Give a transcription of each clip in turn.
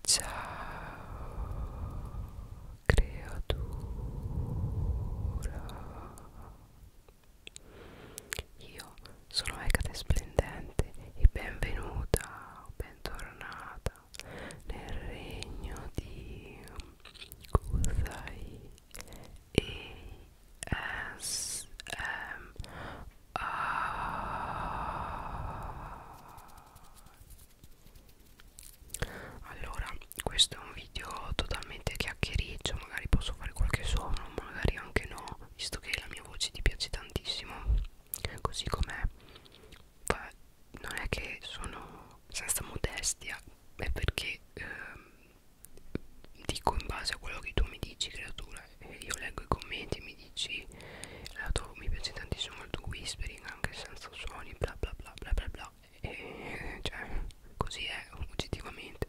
Ciao creatura Io sono Ecate Splendente e benvenuta o bentornata nel regno di Kusai e S M A allora questo è un video totalmente chiacchiericcio magari posso fare qualche suono magari anche no visto che la mia voce ti piace tantissimo così com'è non è che sono senza modestia è perché ehm, dico in base a quello che tu mi dici creatura io leggo i commenti mi dici lato, eh, mi piace tantissimo il tuo whispering anche senza suoni bla bla bla bla bla bla e cioè così è oggettivamente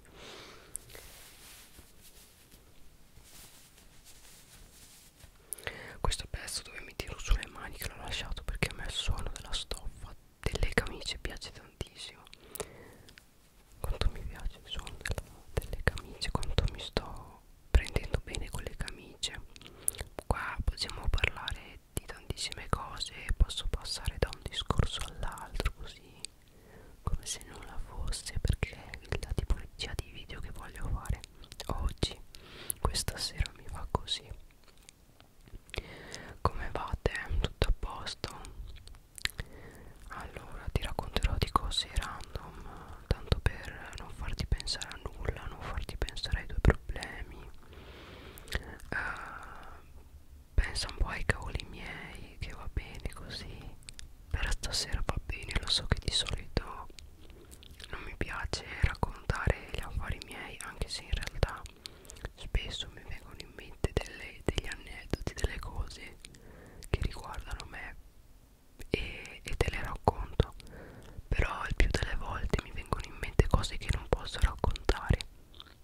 questo pezzo dove mi tiro sulle mani che l'ho lasciato perché a me il suono della stoffa delle camicie piace tantissimo quanto mi piace il suono della, delle camicie quanto mi sto prendendo bene con le camicie qua possiamo parlare di tantissime cose posso passare da un discorso all'altro così come se nulla fosse perché la tipologia di video che voglio fare oggi questa sera mi va così come vate tutto a posto allora ti racconterò di cose random random tanto per non farti pensare a nulla non farti pensare ai tuoi problemi uh, pensa un po' ai cavoli miei che va bene così per stasera va bene lo so che di solito non mi piace raccontare gli affari miei anche se in realtà spesso mi vengono in mente delle, degli aneddoti delle cose che riguardano me e, e te le racconto però il più delle volte mi vengono in mente cose che non posso raccontare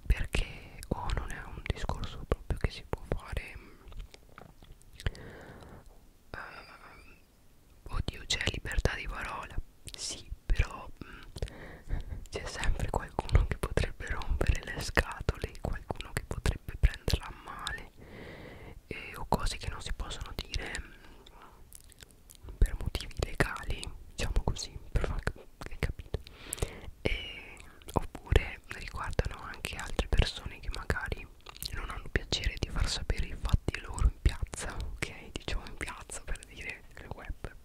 perché o oh, non è un discorso proprio che si può fare uh, oddio c'è libertà di parola sì però mm, c'è sempre qualcuno che potrebbe rompere le scatole qualcuno che potrebbe prenderla a male eh, o cose che non si possono dire mh, mm, per motivi legali diciamo così per far capito e, oppure riguardano anche altre persone che magari non hanno piacere di far sapere i fatti loro in piazza ok diciamo in piazza per dire il web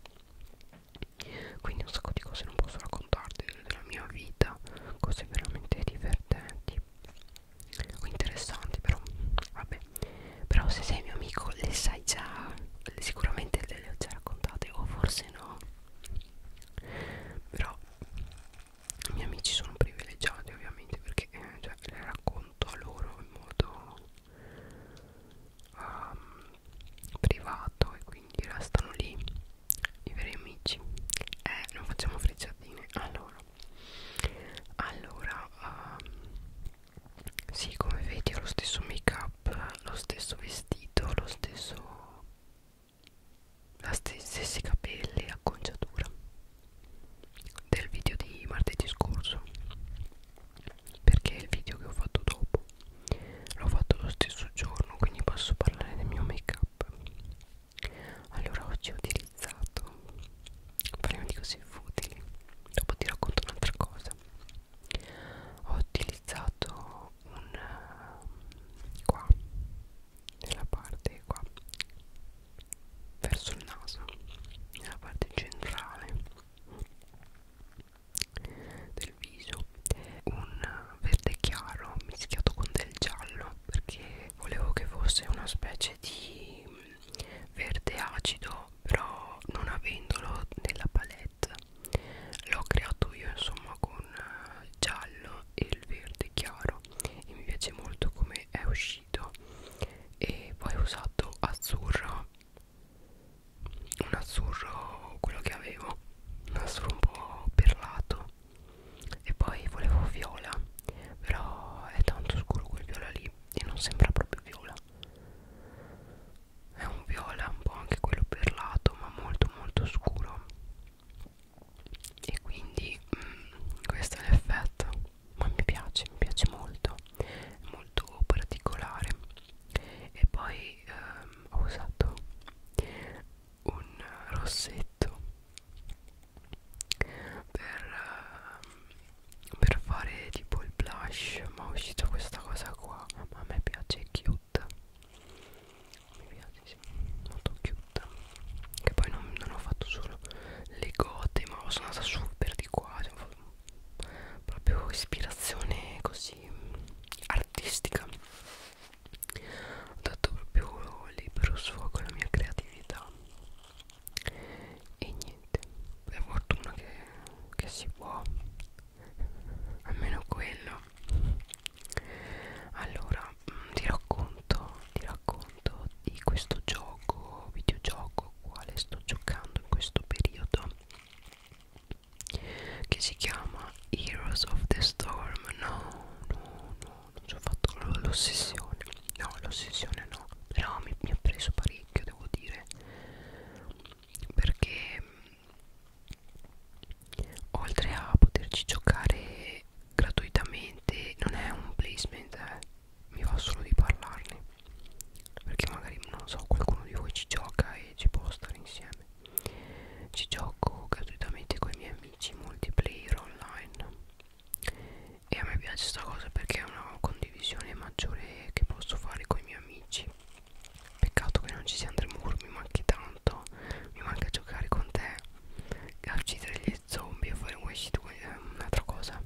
quindi un sacco di cose non posso raccontarti della mia vita cose veramente divertenti o interessanti però vabbè però se sei mio amico le sai già sicuramente le ho già raccontate o forse no però i miei amici sono privilegiati ovviamente perché eh, cioè, le racconto a loro in modo um, privato e quindi restano lì i veri amici eh non facciamo frecciatine allora eccetera allora um, sì come vedi ho lo stesso make up lo stesso vestito lo stesso la st stessi capelli acconciatura del video di martedì scorso perché il video che ho fatto dopo l'ho fatto lo stesso giorno quindi posso parlare del mio make up allora oggi ho utilizzato realizzato parliamo di cose futili dopo ti racconto un'altra cosa ho utilizzato un eh, qua nella parte qua verso il naso nella parte centrale del viso un verde chiaro mischiato con del giallo perché volevo che fosse una specie di verde acido però non avendolo nella palette l'ho creato io insomma con il eh, giallo e il verde chiaro e mi piace molto come è uscito e poi ho usato azzurro un azzurro quello che avevo un azzurro un po' perlato e poi volevo viola però è tanto scuro quel viola lì qui e non sembra proprio viola è un viola un po' anche quello perlato ma molto molto scuro e quindi mh, mm, questo è l'effetto ma mi piace mi piace molto è molto particolare e poi ehm, ho usato un rossetto per, ehm, per fare tipo il blush ma è uscita questa cosa qua ma a me piace cute mi piace sì molto cute che poi non, non ho fatto solo le gote ma sono andata su per di qua cioè, proprio ispirazione così artistica ho dato proprio libero sfogo alla mia creatività e niente per fortuna che, che si può almeno quello allora mm, ti racconto ti racconto di questo gioco videogioco quale sto giocando in questo periodo che si chiama Heroes of the Storm no no no non ci ho fatto l'ossessione no l'ossessione no però mi, mi ha preso parecchio devo dire perché mm, oltre a poterci giocare gratuitamente non è un placement eh. mi va solo di parlarne perché magari non so qualcuno di voi ci gioca e ci può stare insieme ci gioco gratuitamente con i miei amici multiplayer online e a me piace sta cosa perché è una condivisione maggiore che posso fare con i miei amici peccato che non ci sia Andremur mi manchi tanto mi manca giocare con te a uccidere gli zombie a fare un wayshit eh, un'altra cosa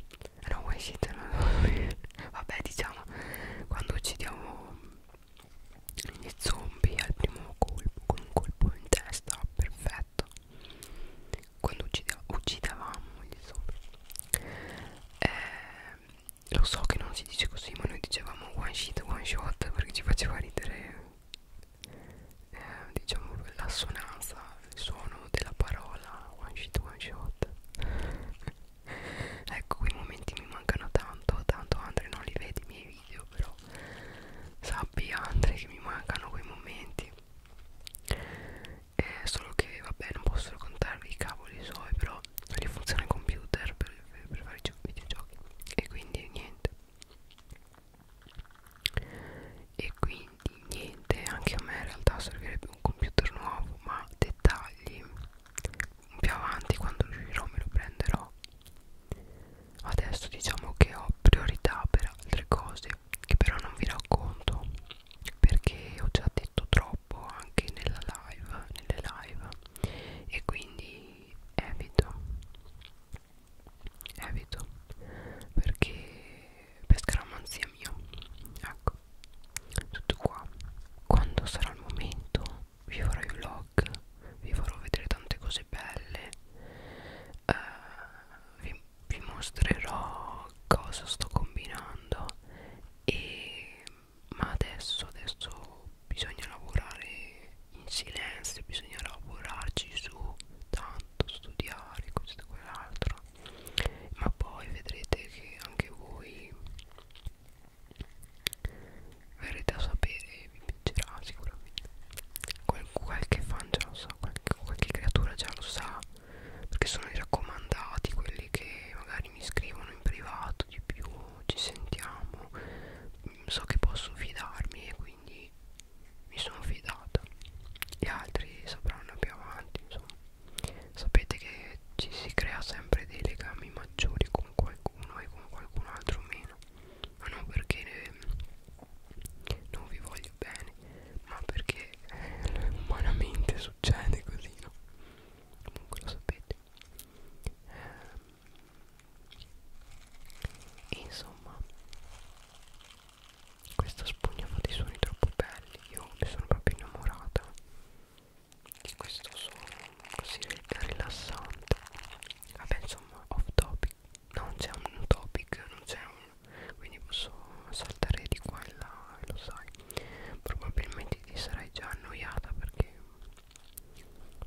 eh no wayshit no, no. vabbè diciamo quando uccidiamo gli zombie al primo colpo con un colpo in testa perfetto quando uccideva, uccidavamo gli sopra eh, lo so che non si dice così ma noi dicevamo one shit one shot perché ci faceva ridere eh, diciamo l'assonanza il suono della parola one shit one shot ecco quei momenti mi mancano tanto tanto Andre non li vedi i miei video però sappi Andre che mi mancano quei momenti eh, solo che vabbè non posso raccontarvi i cavoli suoi però non funziona il computer per, per, per fare i videogiochi e quindi niente e quindi niente anche a me in realtà servirebbe un computer nuovo ma dettagli più avanti quando riuscirò me lo prenderò adesso diciamo che ho priorità per altre cose che però non vi racconto perché ho già detto troppo anche nella live, nelle live e quindi evito evito perché per scaramanzia mia ecco tutto qua quando sarà il momento vi farò i vlog vi farò vedere tante cose belle uh, vi, vi mostrerò cosa sto combinando e, ma adesso adesso bisogna lavorare in silenzio bisogna lavorarci su tanto studiare questo e quell'altro ma poi vedrete che anche voi verrete a sapere vi piacerà sicuramente Qual qualche fan già lo sa qualche, qualche creatura già lo sa perché sono i raccomandati quelli che magari mi scrivono in privato di più ci sentiamo so che posso fidarmi e quindi mi sono fidata gli altri sapranno più avanti insomma sapete che ci si crea sempre dei legami maggiori con qualcuno e con qualcun altro meno ma non perché non vi voglio voglio bene ma perché eh, umanamente succede così no comunque lo sapete e ehm, insomma questa spugna fa dei suoni troppo belli io ne sono proprio innamorata di questo suono così rilassante vabbè insomma off topic non c'è un topic non c'è un quindi posso saltare di qua e là lo sai probabilmente ti sarai già annoiata perché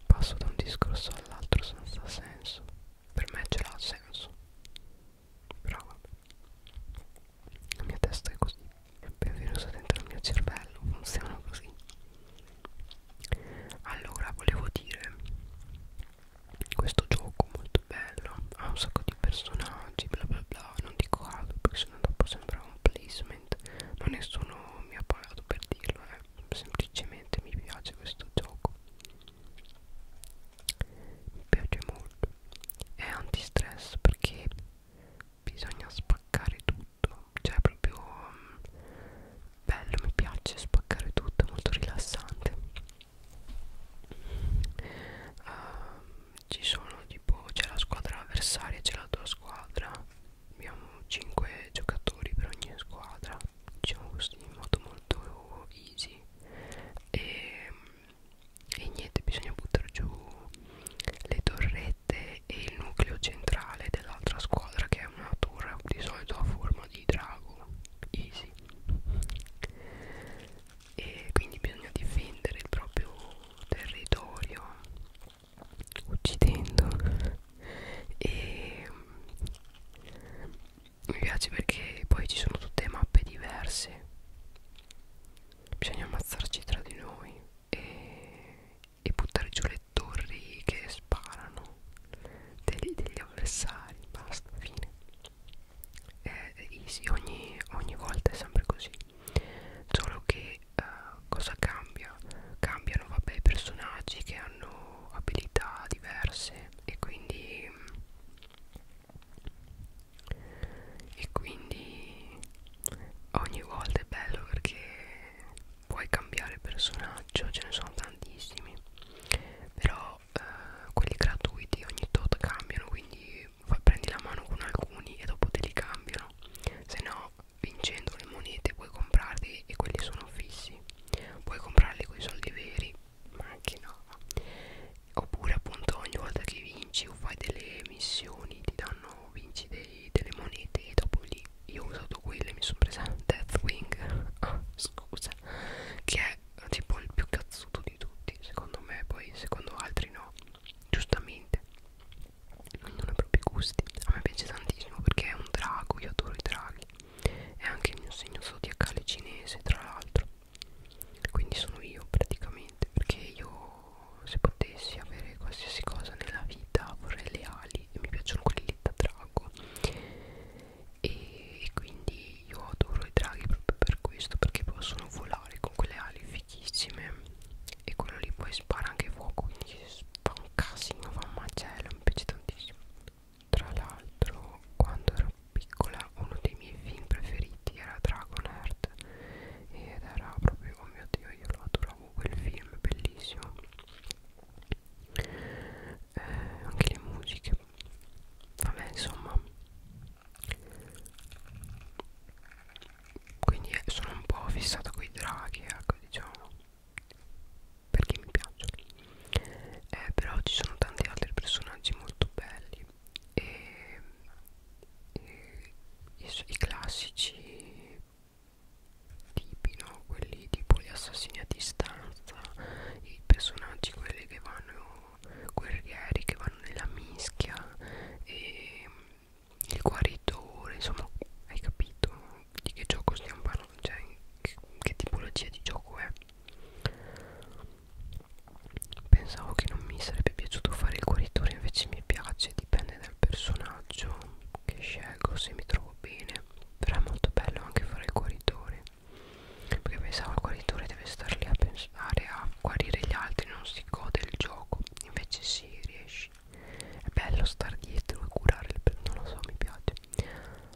passo da un discorso all'altro senza senso per me ce l'ha senso però la mia testa è così benvenuta dentro il mio cervello funziona così allora volevo dire questo gioco molto bello ha un sacco di personaggi bla bla bla non dico altro perché sennò dopo sembra un placement ma nessuno mi ha pagato per dirlo eh. semplicemente mi piace questo gioco mi piace molto è antistress perché bisogna spaccare tutto cioè è proprio um, bello mi piace spaccare tutto è molto rilassante uh, ci sono tipo c'è la squadra avversaria c'è la tua squadra abbiamo 5 giocatori per ogni squadra diciamo così in modo molto easy e, ehm, e niente bisogna buttare giù le torrette e il nucleo centrale dell'altra squadra che è una torre di solito a forma di drago easy e quindi bisogna difendere il proprio territorio uccidendo e mm, mi piace perché poi ci sono tutte mappe diverse bisogna ammazzarci tra di noi e, e buttare giù le torri che sparano degli, degli avversari basta fine è eh, easy ogni, ogni volta è sempre così solo che uh, cosa cambia cambiano vabbè i personaggi che hanno abilità diverse e quindi e quindi ogni volta è bello perché puoi cambiare personaggio ce ne sono tantissimi però eh, quelli gratuiti ogni tot cambiano quindi poi fai, prendi la mano con alcuni e dopo te li cambiano se no vincendo le monete puoi comprarli e quelli sono fissi puoi comprarli con i soldi veri ma anche no oppure appunto ogni volta che vinci o fai delle missioni ti danno vinci dei, delle monete e dopo lì io ho usato quelle mi sono presa Deathwing ah, scusa che è tipo il più cazzuto di tutti secondo me poi secondo altri no giustamente ognuno ha i propri gusti a me piace tantissimo perché è un drago io adoro i draghi è anche il mio segno zodiacale cinese tra l'altro quindi sono io praticamente perché io se potessi avere qualsiasi cosa nella vita vorrei le ali e mi piacciono quelli da drago e, e quindi io adoro i draghi proprio per questo perché possono volare con quelle ali fichissime e quello lì poi spara anche fuoco quindi fa un casino fa un macello mi piace tantissimo tra l'altro quando ero piccola uno dei miei film preferiti era Dragon Heart ed era proprio oh mio dio io lo adoravo quel film bellissimo eh, anche le musiche vabbè insomma quindi eh, sono un po' fissata con i draghi ecco diciamo perché mi piacciono eh, però ci sono tanti altri personaggi molto belli e, e i, i classici tipi no quelli tipo gli assassini a distanza i personaggi quelli che vanno guerrieri che vanno nella mischia e il guaritore insomma hai capito di che gioco stiamo parlando cioè che, che tipologia di gioco è pensavo che non mi sarebbe piaciuto fare il guaritore invece mi piace dipende dal personaggio che scelgo se mi trovo bene però è molto bello anche fare il guaritore perché pensavo il guaritore deve star lì a pensare andare a guarire gli altri non si gode il gioco invece si sì, riesci è bello star dietro e curare il pezzo non lo so mi piace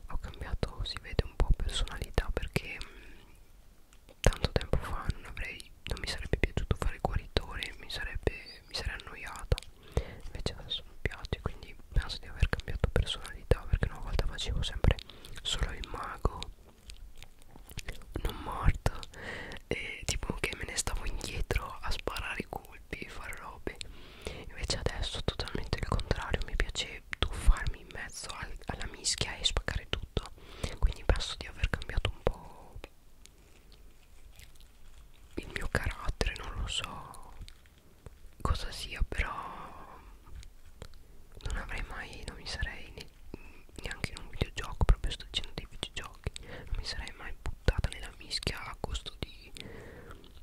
ho cambiato si vede un po' personalità perché mh, mm, tanto tempo fa non avrei non mi sarebbe piaciuto fare il guaritore mi sarebbe mi sarei annoiata invece adesso mi piace quindi penso di aver cambiato personalità perché una volta facevo sempre solo il mago non morto e tipo che me ne stavo indietro a sparare i colpi e fare robe invece adesso totalmente il contrario mi piace tuffarmi in mezzo al, alla mischia e spaccare tutto quindi penso di aver cambiato un po' il mio carattere non lo so cosa sia però non avrei mai non mi sarei neanche in un videogioco proprio sto dicendo dei videogiochi non mi sarei mai buttata nella mischia a costo di,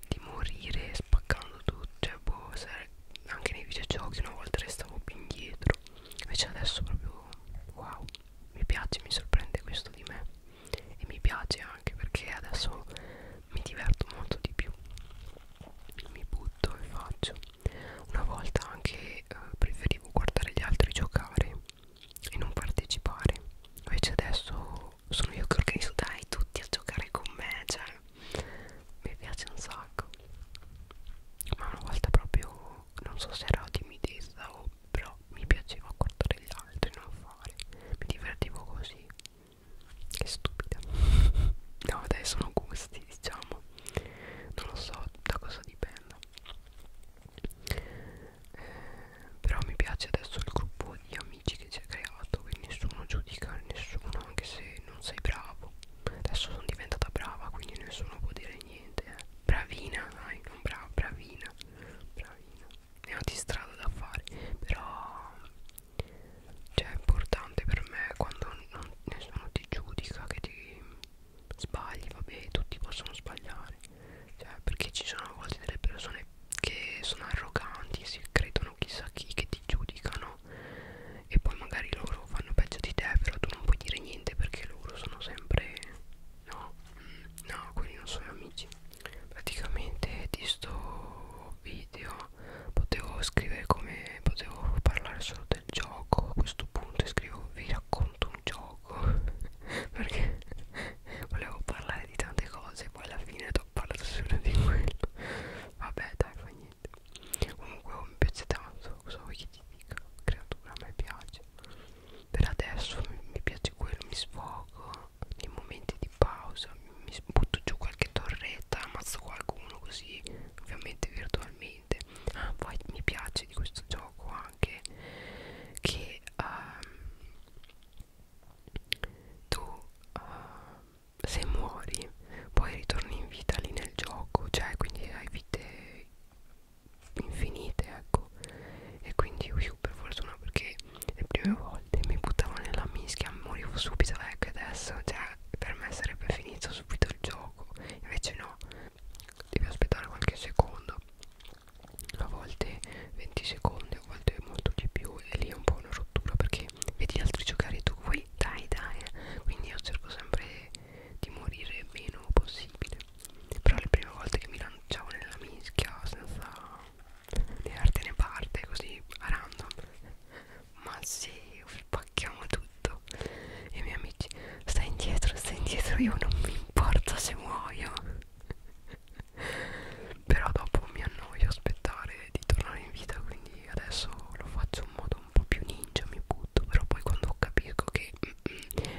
di morire spaccando tutto cioè boh sare, anche nei videogiochi una volta restavo più indietro invece adesso proprio wow mi piace mi sorprende questo di me e mi piace anche perché adesso mi diverto molto di più mi butto e faccio una volta anche eh, preferivo guardare gli altri giocare e non partecipare. Invece adesso sono io che organizzo dai tutti a giocare con me, cioè mi piace un sacco. Ma una volta proprio non so se era timidezza o però mi piaceva guardare gli altri, non fare. Mi divertivo così. Che stupida. No, dai, sono gusti, diciamo. Non lo so da cosa dipenda eh, però mi piace adesso il gruppo di amici che si è creato che nessuno giudica nessuno anche se non sei bravo adesso sono diventata brava quindi nessuno può dire niente eh. bravina dai non brava bravina bravina ne ho di strada da fare però cioè è importante per me quando non, nessuno ti giudica che ti sbagli, vabbè, tutti possono sbagliare, cioè, perché ci sono a volte delle persone che sono arroganti, si credono chissà chi, che ti giudicano e poi magari loro fanno peggio di te, però tu non puoi dire niente perché loro sono sempre no, mm, no, quelli non sono amici. Praticamente di sto video potevo scrivere come potevo parlare solo del gioco a questo punto e scrivo vi racconto un gioco perché volevo parlare di tante cose poi alla fine ho parlato solo di quello vabbè dai fa niente comunque oh, mi piace tanto cosa vuoi che ti dica creatura a me piace per adesso mi piace quello mi sfogo nei momenti di pausa mi butto giù qualche torretta ammazzo qualcuno così ovviamente virtualmente niente ah, poi mi piace di questo gioco anche che uh, tu uh, se muori poi ritorni in vita lì nel gioco cioè quindi hai vite infinite ecco e quindi io per fortuna perché le prime volte mi buttavo nella mischia morivo subito ecco adesso cioè per me sarebbe finito subito il gioco invece no devi aspettare qualche secondo a volte 20 secondi a volte molto di più e lì è un po' una rottura perché vedi altri giocare tu qui dai dai eh. quindi io cerco sempre di morire meno possibile però le prime volte che mi lanciavo nella mischia senza né arte né parte così a random ma sì spacchiamo tutto e i miei amici stai indietro stai indietro io non mi importa se muoio però dopo mi annoio aspettare di tornare in vita quindi adesso lo faccio in modo un po' più ninja mi butto però poi quando capisco che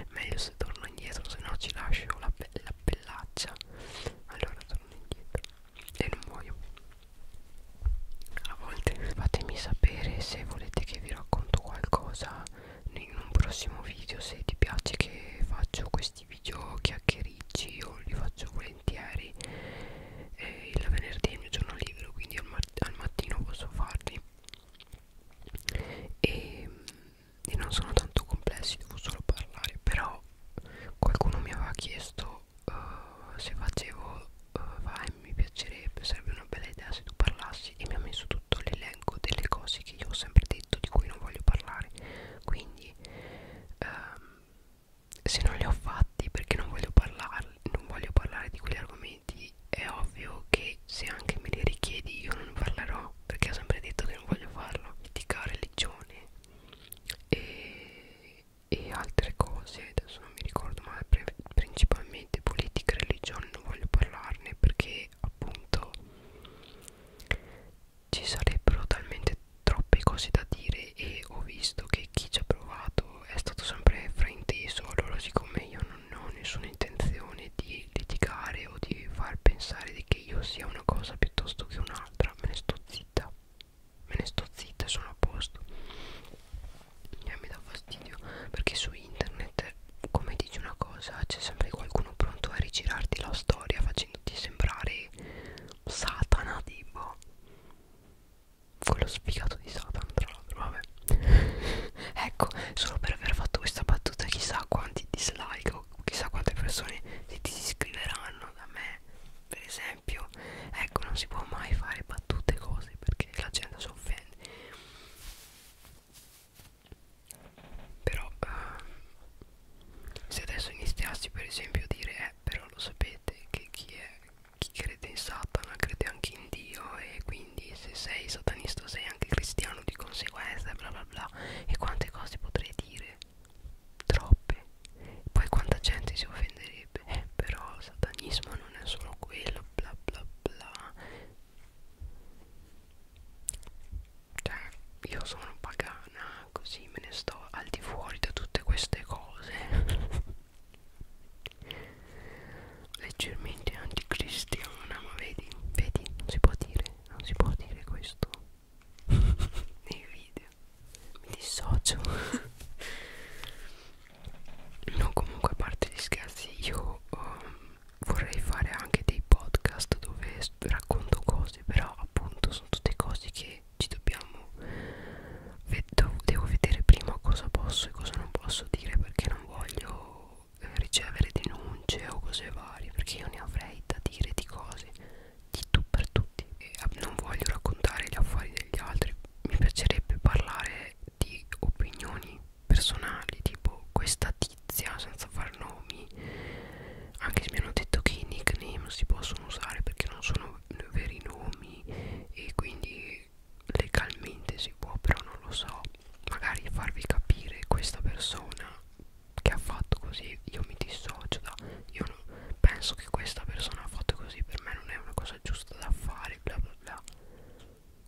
meglio se torno indietro se no ci lascio la, pe la pellaccia allora torno indietro e non muoio a volte fatemi sapere se volete che vi racconto qualcosa in un prossimo video se ti piace che faccio questi video chiacchiericci io li faccio volentieri eh, il venerdì è il mio giorno libero quindi al, mart al mattino posso farli e, e non sono tanto complessi devo solo parlare però qualcuno mi aveva chiesto uh, se facevo uh, mi piacerebbe, sarebbe una bella idea se tu parlassi e mi ha messo tutto l'elenco delle cose che io ho sempre detto di cui non voglio parlare quindi ehm, se non le ho fatti perché non voglio parlare non voglio parlare di quegli argomenti è ovvio che se anche me li richiedi io non parlerò perché ho sempre detto che non voglio farlo etica, religione e, e altre cose adesso non mi ricordo ma principalmente ovviamente politica e religione non voglio parlarne perché appunto ci sarebbero talmente troppe cose da dire e ho visto che chi ci ha provato è stato sempre frainteso allora siccome io non ho nessuna intenzione di litigare o di far pensare di che io sia una cosa piuttosto che un'altra me ne sto zitta me ne sto zitta sono a posto e eh, mi dà fastidio perché su internet come dici una cosa c'è sempre qualcuno pronto a rigirarti la storia facendoti sembrare Satana tipo quello sfigato di Satana tra l'altro vabbè ecco solo per aver fatto questa battuta chissà quanti dislike o chissà quante persone si disiscriveranno da me per esempio ecco non si può mai fare battute cose perché la gente si offende però ehm, se adesso iniziassi per esempio a dire eh però lo sapete che chi è chi crede in Satana crede anche in Dio e quindi se sei satanista sei anche cristiano di conseguenza bla bla bla e quante cose potrei dire troppe poi quanta gente si offenderebbe eh però il satanismo non è solo quello bla bla bla cioè, io sono pagana, così me ne sto al di fuori da tutte queste cose. Leggermente anticristiana, ma vedi, vedi, non si può dire, non si può dire questo nei video. Mi dissocio. no, comunque a parte gli scherzi, io um, vorrei fare anche dei podcast dove racconto cose però appunto sono tutte cose che ci dobbiamo devo vedere prima cosa posso e cosa non posso dire perché non voglio eh, ricevere denunce o cose varie perché io ne avrei da dire di cose di tu per tutti e ah, non voglio raccontare gli affari degli altri mi piacerebbe parlare di opinioni personali tipo questa tizia senza far nomi anche se mi hanno detto che i nickname non si possono usare perché non sono veri nomi e quindi legalmente si può però non lo so magari farvi capire questa persona che ha fatto così io mi dissocio da io non, penso che questa persona ha fatto così per me non è una cosa giusta da fare bla bla bla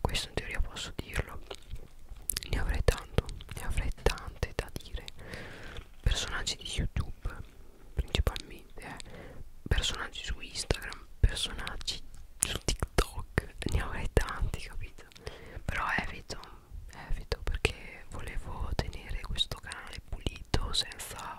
questo in teoria posso dirlo ne avrei tanto ne avrei tante da dire personaggi di youtube principalmente eh. personaggi su instagram personaggi su tiktok ne avrei tanti capito però evito evito perché volevo tenere questo canale pulito senza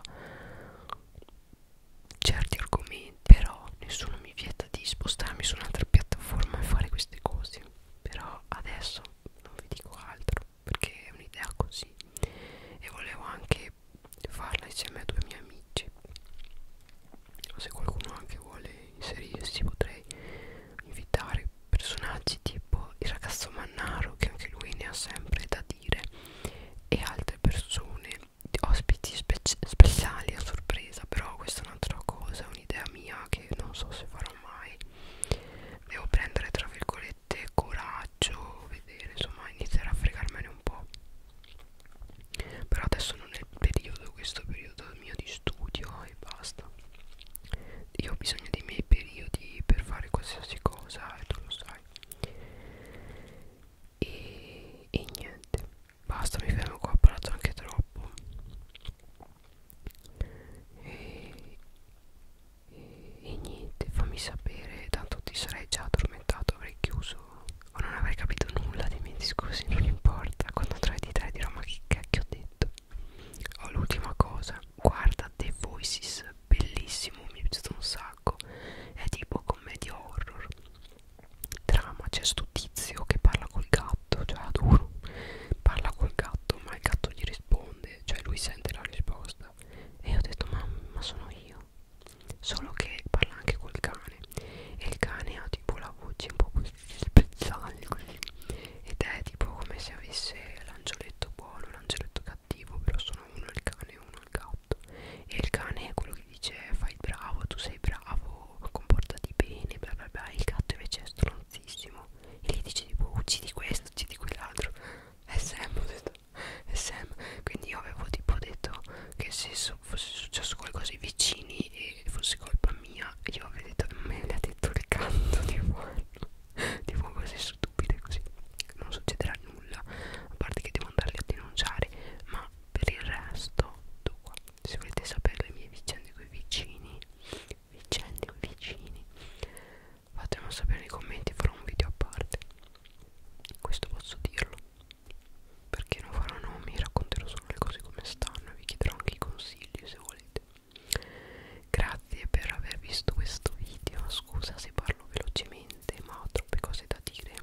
certi argomenti però nessuno mi vieta di spostarmi su un'altra piattaforma e fare queste cose però adesso non vi dico altro perché è un'idea così e volevo anche farla insieme a due miei amici se qualcuno anche vuole inserirsi potrei invitare personaggi tipo il ragazzo Mannaro che anche lui ne ha sempre da dire e altre persone ospiti speci speciali a sorpresa però questa è un'altra cosa, è un'idea mia che non so se farò mai devo prendere tra virgolette coraggio vedere insomma iniziare a fregarmene un po' però adesso non è il periodo questo è il periodo mio di studio e basta io ho bisogno dei miei periodi per fare qualsiasi cosa e tu lo sai e, e niente basta mi fermo qua ho parlato anche troppo e, e, e niente fammi sapere tanto ti sarei già addormentato avrei chiuso o non avrei capito nulla dei miei discorsi non importa quando tra di te dirò ma che cacchio ho detto oh l'ultima cosa guarda The Voices bellissimo mi è piaciuto un sacco è tipo commedia horror trama c'è sto tizio che parla col gatto cioè adoro parla col gatto ma il gatto gli risponde cioè lui sente la risposta e io ho detto ma, ma sono io solo che parla anche col cane e il cane ha tipo la voce un po' così spezzale così ed è tipo come se avesse l'angioletto buono l'angioletto cattivo però sono uno il cane e uno il gatto e il cane è quello che lui dice fai bravo, tu sei bravo, comportati bene, bla bla bla, il gatto invece è stronzissimo e gli dice tipo uccidi questo, uccidi quell'altro, è Sam, ho detto, è Sam, quindi io avevo tipo detto che se so, fosse successo qualcosa ai vicini e fosse colpa mia, io avrei detto me l'ha detto il canto tipo, tipo cose stupide così, non succederà nulla, a parte che devo andarli a denunciare, ma per il resto, tu qua se volete sapere le mie vicende con i vicini vicende con i vicini fatemelo sapere nei commenti farò un video a parte questo posso dirlo perché non farò nomi racconterò solo le cose come stanno e vi chiederò anche i consigli se volete grazie per aver visto questo video scusa se parlo velocemente ma ho troppe cose da dire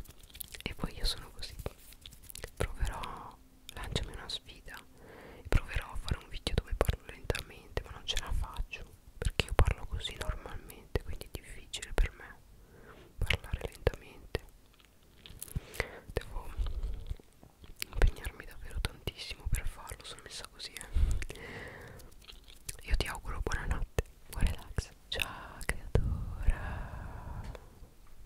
e poi io sono così proverò lanciami una sfida e proverò a fare un video dove parlo lentamente ma non ce la faccio perché io parlo così normalmente quindi è difficile per me parlare lentamente devo impegnarmi davvero tantissimo per farlo sono messa così eh. io ti auguro buonanotte buon relax ciao creatora